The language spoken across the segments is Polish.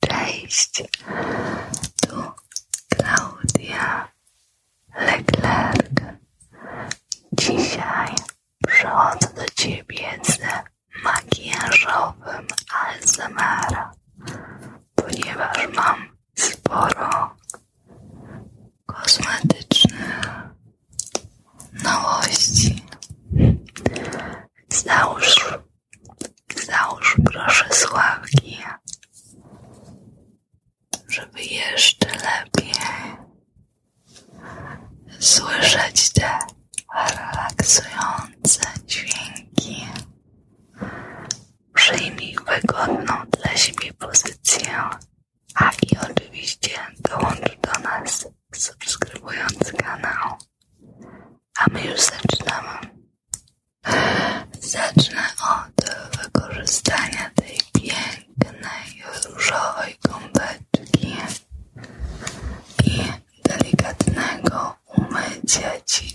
Cześć, tu Klaudia Leclerc. Dzisiaj przychodzę do Ciebie z makijażowym ASMR, ponieważ mam sporo kosmetycznych nowości. Załóż Załóż proszę sławki, żeby jeszcze lepiej słyszeć te relaksujące dźwięki. Przyjmij wygodną dla siebie pozycję, a i oczywiście dołącz do nas subskrybując kanał. A my już zaczynamy. Zacznę od wykorzystania tej pięknej różowej gąbeczki i delikatnego umycia ci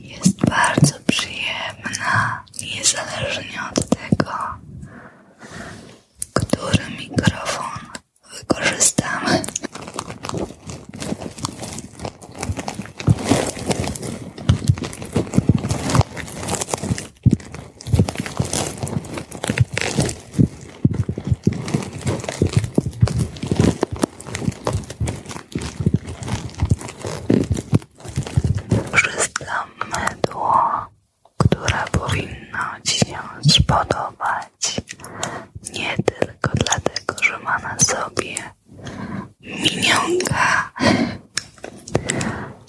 Jest bardzo przyjemna, niezależnie od tego, który mikrofon wykorzystamy. Wszystko mydło, które powinno cię spodobać, nie tylko dlatego, że ma na sobie minionka,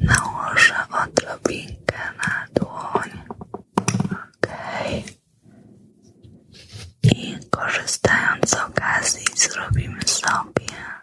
Nałożę odrobinkę na dłoń. Okej. I korzystając z okazji zrobimy sobie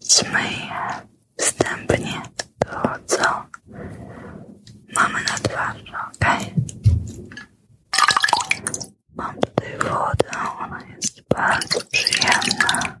Zmyję, wstępnie to, co mamy na twarzy, ok? Mam tutaj wodę, ona jest bardzo przyjemna.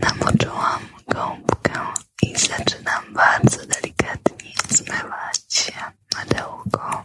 Namoczyłam gąbkę i zaczynam bardzo delikatnie zmywać się na dełko.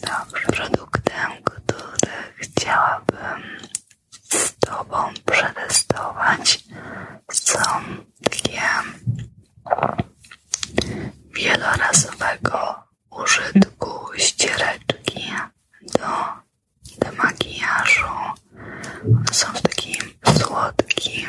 Dobrze, produktem, który chciałabym z Tobą przetestować są takie wielorazowego użytku ściereczki do, do są w takim słodkim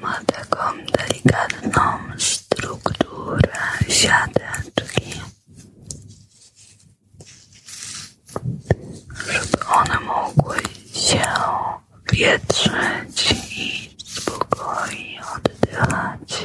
Ma taką delikatną strukturę siateczki, żeby one mogły się wietrzyć i spokojnie oddychać.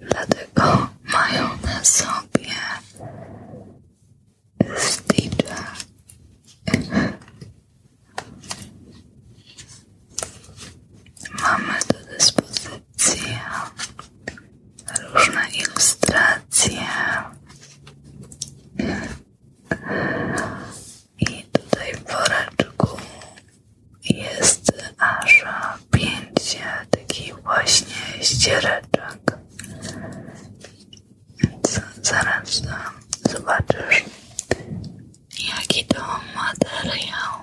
dlatego mają na sobie Stitcha. Mamy do dyspozycji różne ilustracje i tutaj w woreczku jest aż pięć się właśnie ściereczek. Więc zaraz zobaczysz jaki to materiał.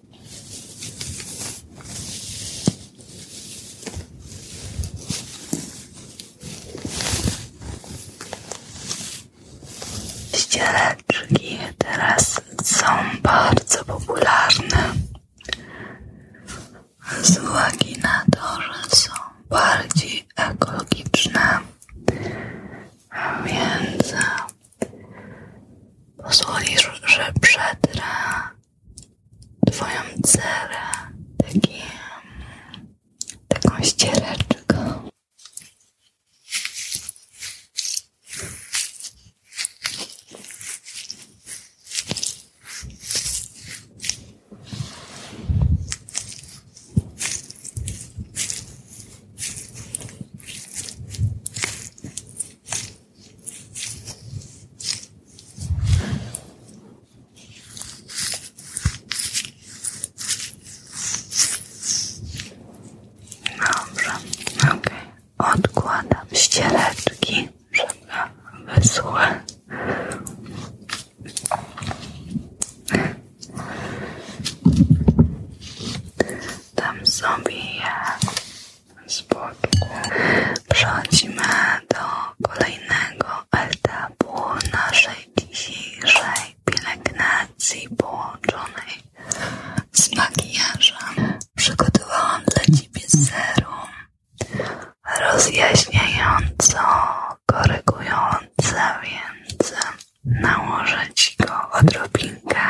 Ściereczki teraz są bardzo popularne z uwagi na to, że są bardziej ekologiczne, więc pozwolisz, że przetrę twoją cerę taki, taką ściereczką Odkładam ściereczki, żeby wyschły. Tam sobie spodu. Przechodzimy do kolejnego etapu naszej dzisiejszej pielęgnacji połączonej z makijażem. Przygotowałam dla Ciebie serum rozjaśniające, korygujące, więc nałożę Ci go odrobinkę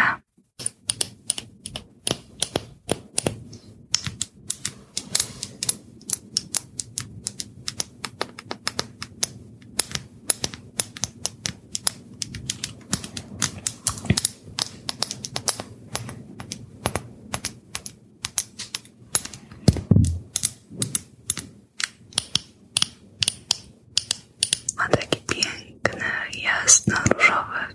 ma takie piękne, jasno różowe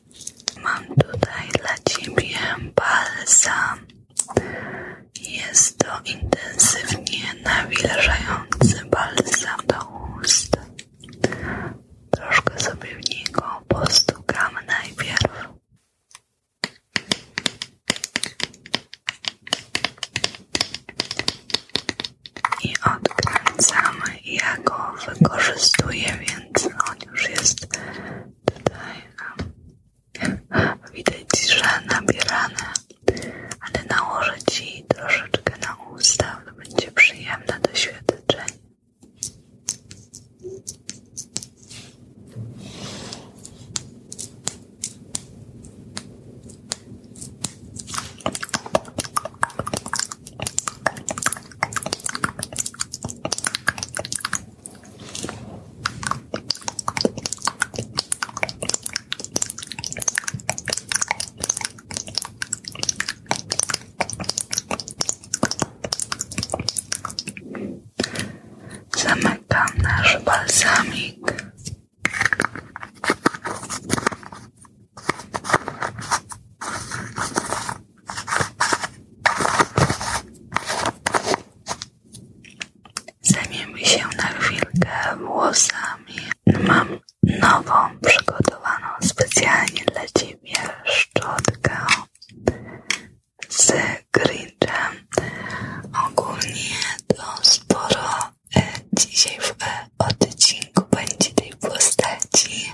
Mam tutaj dla Ciebie balsam. Jest to intensywnie nawilżający balsam do ust. Troszkę sobie w niego postukam najpierw i odkręcamy i ja go wykorzystuję, więc on już jest tutaj widać, że nabierany ale nałożę Ci troszeczkę na usta to będzie przyjemne doświadczenie Zamykam nasz balsamik. Zajmiemy się na chwilkę włosami. Mam nową, przygotowaną specjalnie dla Ciebie szczotkę z grinchem. Ogólnie to sporo e, dzisiaj w e, odcinku będzie tej postaci,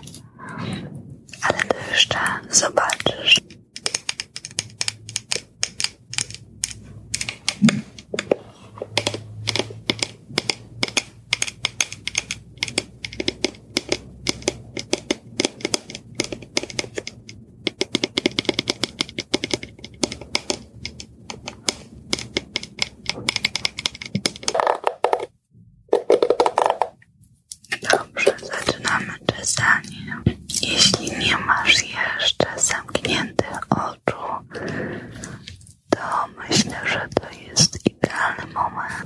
ale to jeszcze zobaczysz. Dobrze, zaczynamy czytanie. Jeśli nie masz jeszcze zamkniętych oczu, to myślę, że to jest idealny moment.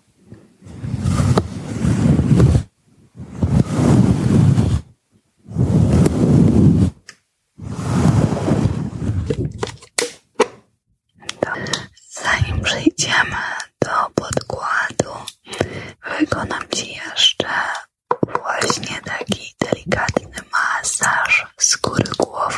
Zanim przejdziemy do podkładu, wykonam Ci jeszcze właśnie taki delikatny masaż skóry głowy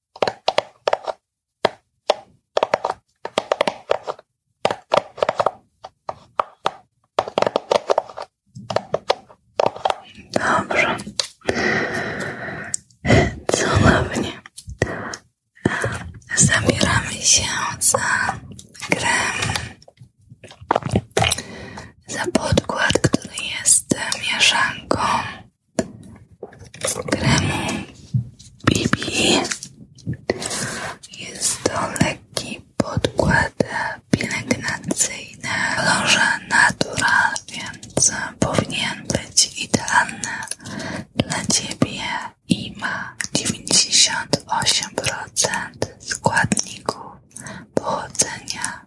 Dobrze. Cudownie. Zabieramy się za krem, za podkład, który jest mieszanką kremu BB. Jest to lekki podkład pielęgnacyjny w kolorze natural, więc powinien być idealny dla Ciebie i ma 98% składników pochodzenia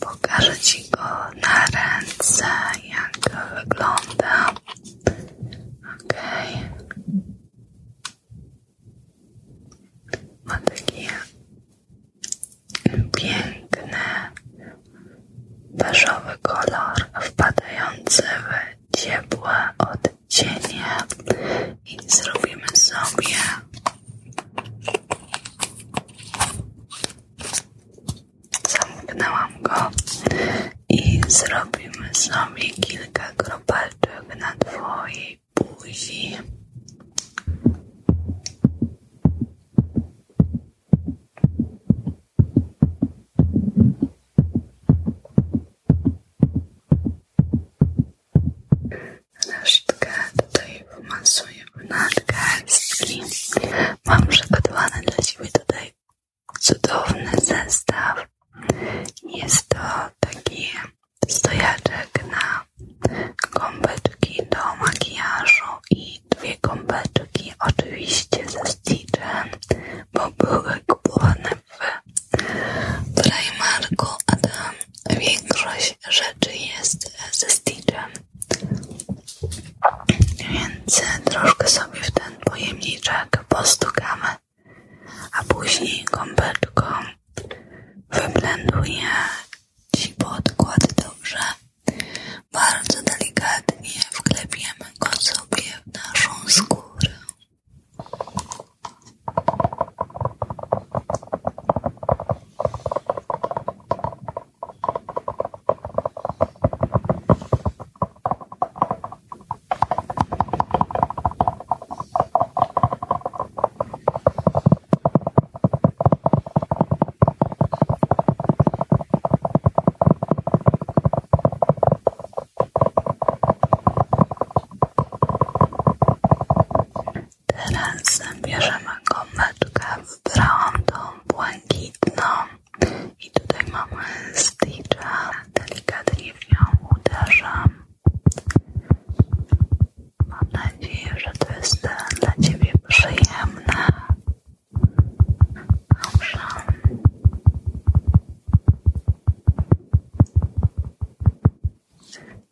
Pokażę go na ręce, jak wygląda. Okej. Okay. Ma takie piękne beżowy kolor wpadający w ciepłe odcienie i zrobimy sobie zamknęłam go i zrobimy sobie kilka kropelczek na twojej buzi Resztkę tutaj wmasuję nad garstki. Mam przygotowany dla Ciebie tutaj cudowny zestaw. Jest to taki stojaczek na gąbeczki do makijażu i dwie gąbeczki oczywiście ze mościcze, bo były kupowane w Primarku, a tam większość rzeczy jest ze styczeń. Więc troszkę sobie w ten pojemniczek postukamy, a później gąbeczką wyblenduję Ci podkład dobrze. Bardzo delikatnie wklepiemy go sobie w naszą skórę. Teraz bierzemy gąbeczkę, wybrałam tą błękitną i tutaj mamy stitcha, delikatnie w nią uderzam. Mam nadzieję, że to jest dla Ciebie przyjemne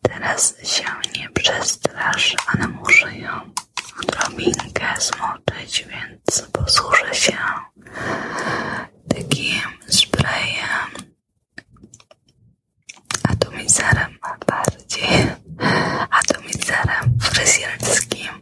Teraz się nie przestrasz, ale muszę ją drobinkę zmoczyć, więc posłużę się takim sprayem atomizerem bardziej atomizerem fryzjerskim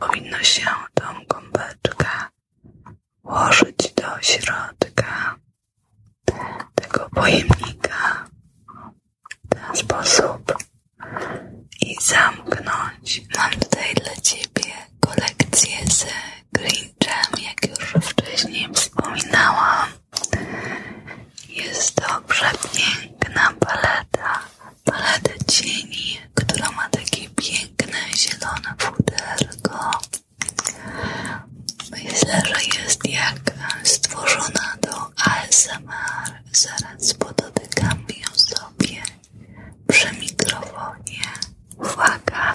Powinno się tą gąbeczkę włożyć do środka tego pojemnika w ten sposób i zamknąć. Mam tutaj dla Ciebie kolekcję z Grinchem, jak już wcześniej wspominałam. Jest to przepiękna paleta, paleta cieni, która ma takie piękne zielone puderko Myślę, że jest jak stworzona do ASMR zaraz podotykam ją sobie przy mikrofonie. Uwaga!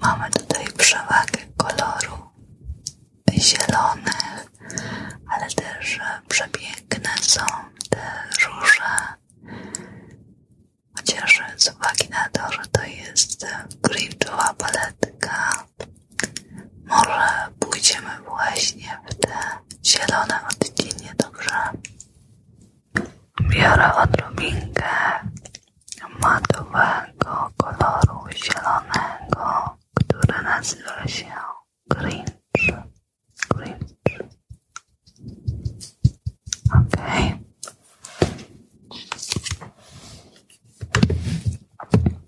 Mamy tutaj przewagę koloru zielonych, ale też przepiękne są te róże. Chociaż z uwagi na to, że to jest griftowa paletka, może pójdziemy właśnie w te zielone odcienie, dobrze? Biorę odrobinkę matowego koloru zielonego, który nazywa się green, cringe. Okay.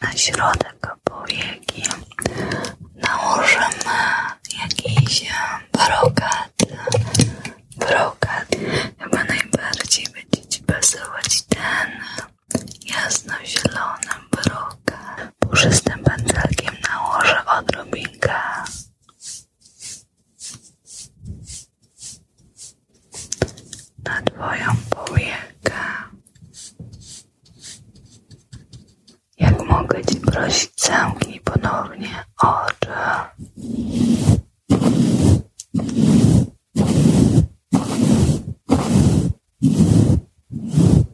Na środek powieki nałożymy jakiś e, brokat. Brokat chyba najbardziej będzie Ci pasować ten jasnozielonym broka. Puszystym pędzelkiem nałożę odrobinkę na Twoją powiekę. Jak mogę Ci prosić, zamknij ponownie oczy.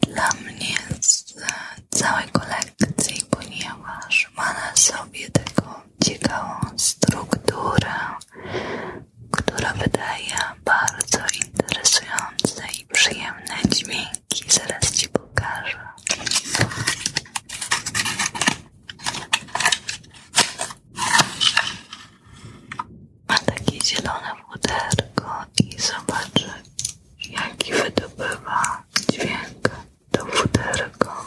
dla mnie z całej kolekcji, ponieważ ma na sobie taką ciekawą strukturę, która wydaje bardzo interesujące i przyjemne dźwięki. Zaraz Ci pokażę. Ma takie zielone puderko i zobaczę, jaki wydobywa dźwięk to futerko.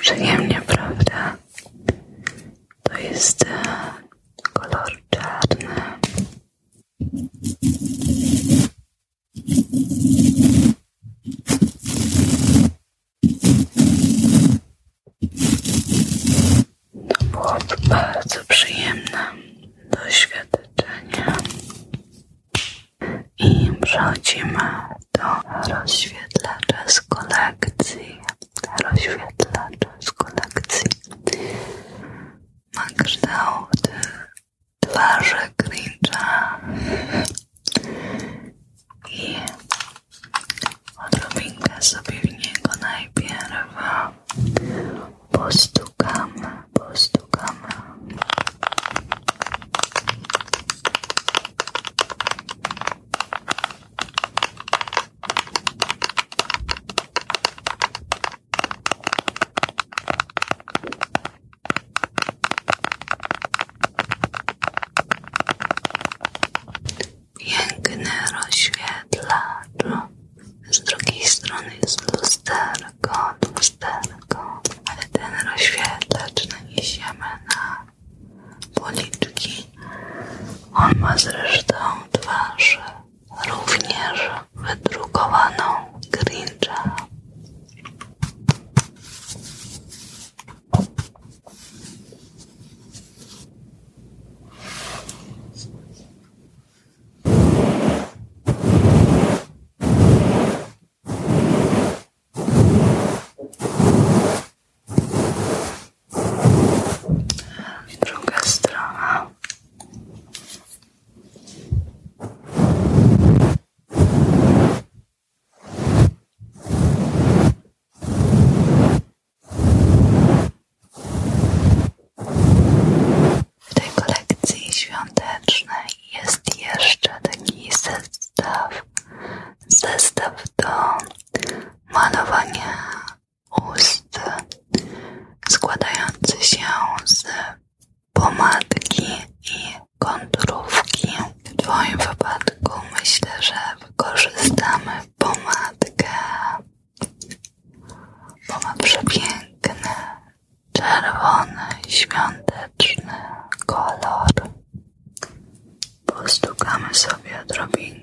Przyjemnie, prawda? To jest e, kolor czarny. To było bardzo przyjemne doświadczenie i przechodzimy do rozświetlacza z kolekcji. Rozświetlacza z kolekcji ma kształt twarzy Grincha i odrobinkę sobie w niego najpierw postukamy, postukamy szukamy. Piękny rozświetlacz. Z drugiej strony jest lusterko kąt, lusterko, ale ten rozświetlacz naniesiemy na policzki. On ma zresztą twarz również wydrukowaną Grincha druga strona. W tej kolekcji świątecznej jest jeszcze taki zestaw, zestaw do malowania ust składający się z pomadki i konturówki. W Twoim wypadku myślę, że wykorzystamy pomadkę, bo ma przepiękne Czerwony, świąteczny kolor. Postukamy sobie odrobinkę.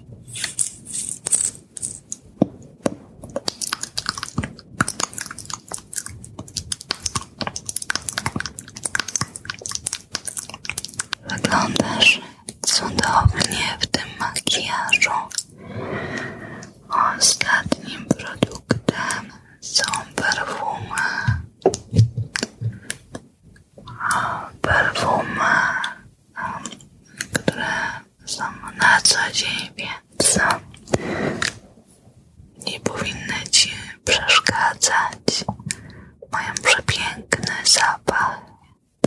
Wyglądasz cudownie w tym makijażu. Ostatnim produktem są perfumy. Perfumy które są na co dzień, więc nie powinny Ci przeszkadzać. Mają przepiękny zapach,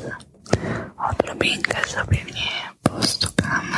więc odrobinkę sobie w nie postukamy.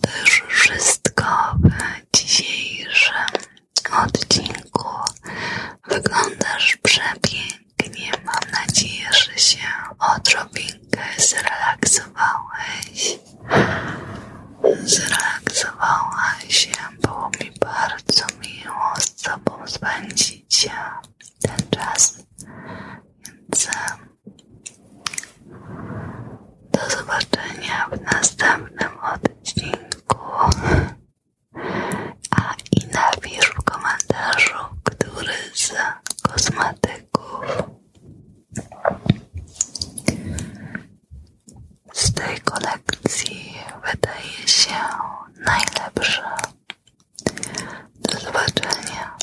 to już wszystko w dzisiejszym odcinku. Wyglądasz przepięknie. Mam nadzieję, że się odrobinkę zrelaksowałeś. Zrelaksowała się. Było mi bardzo miło z Tobą spędzić ten czas. Więc do zobaczenia w następnym odcinku. A i napisz w komentarzu, który z kosmetyków z tej kolekcji wydaje się najlepszy. Do zobaczenia.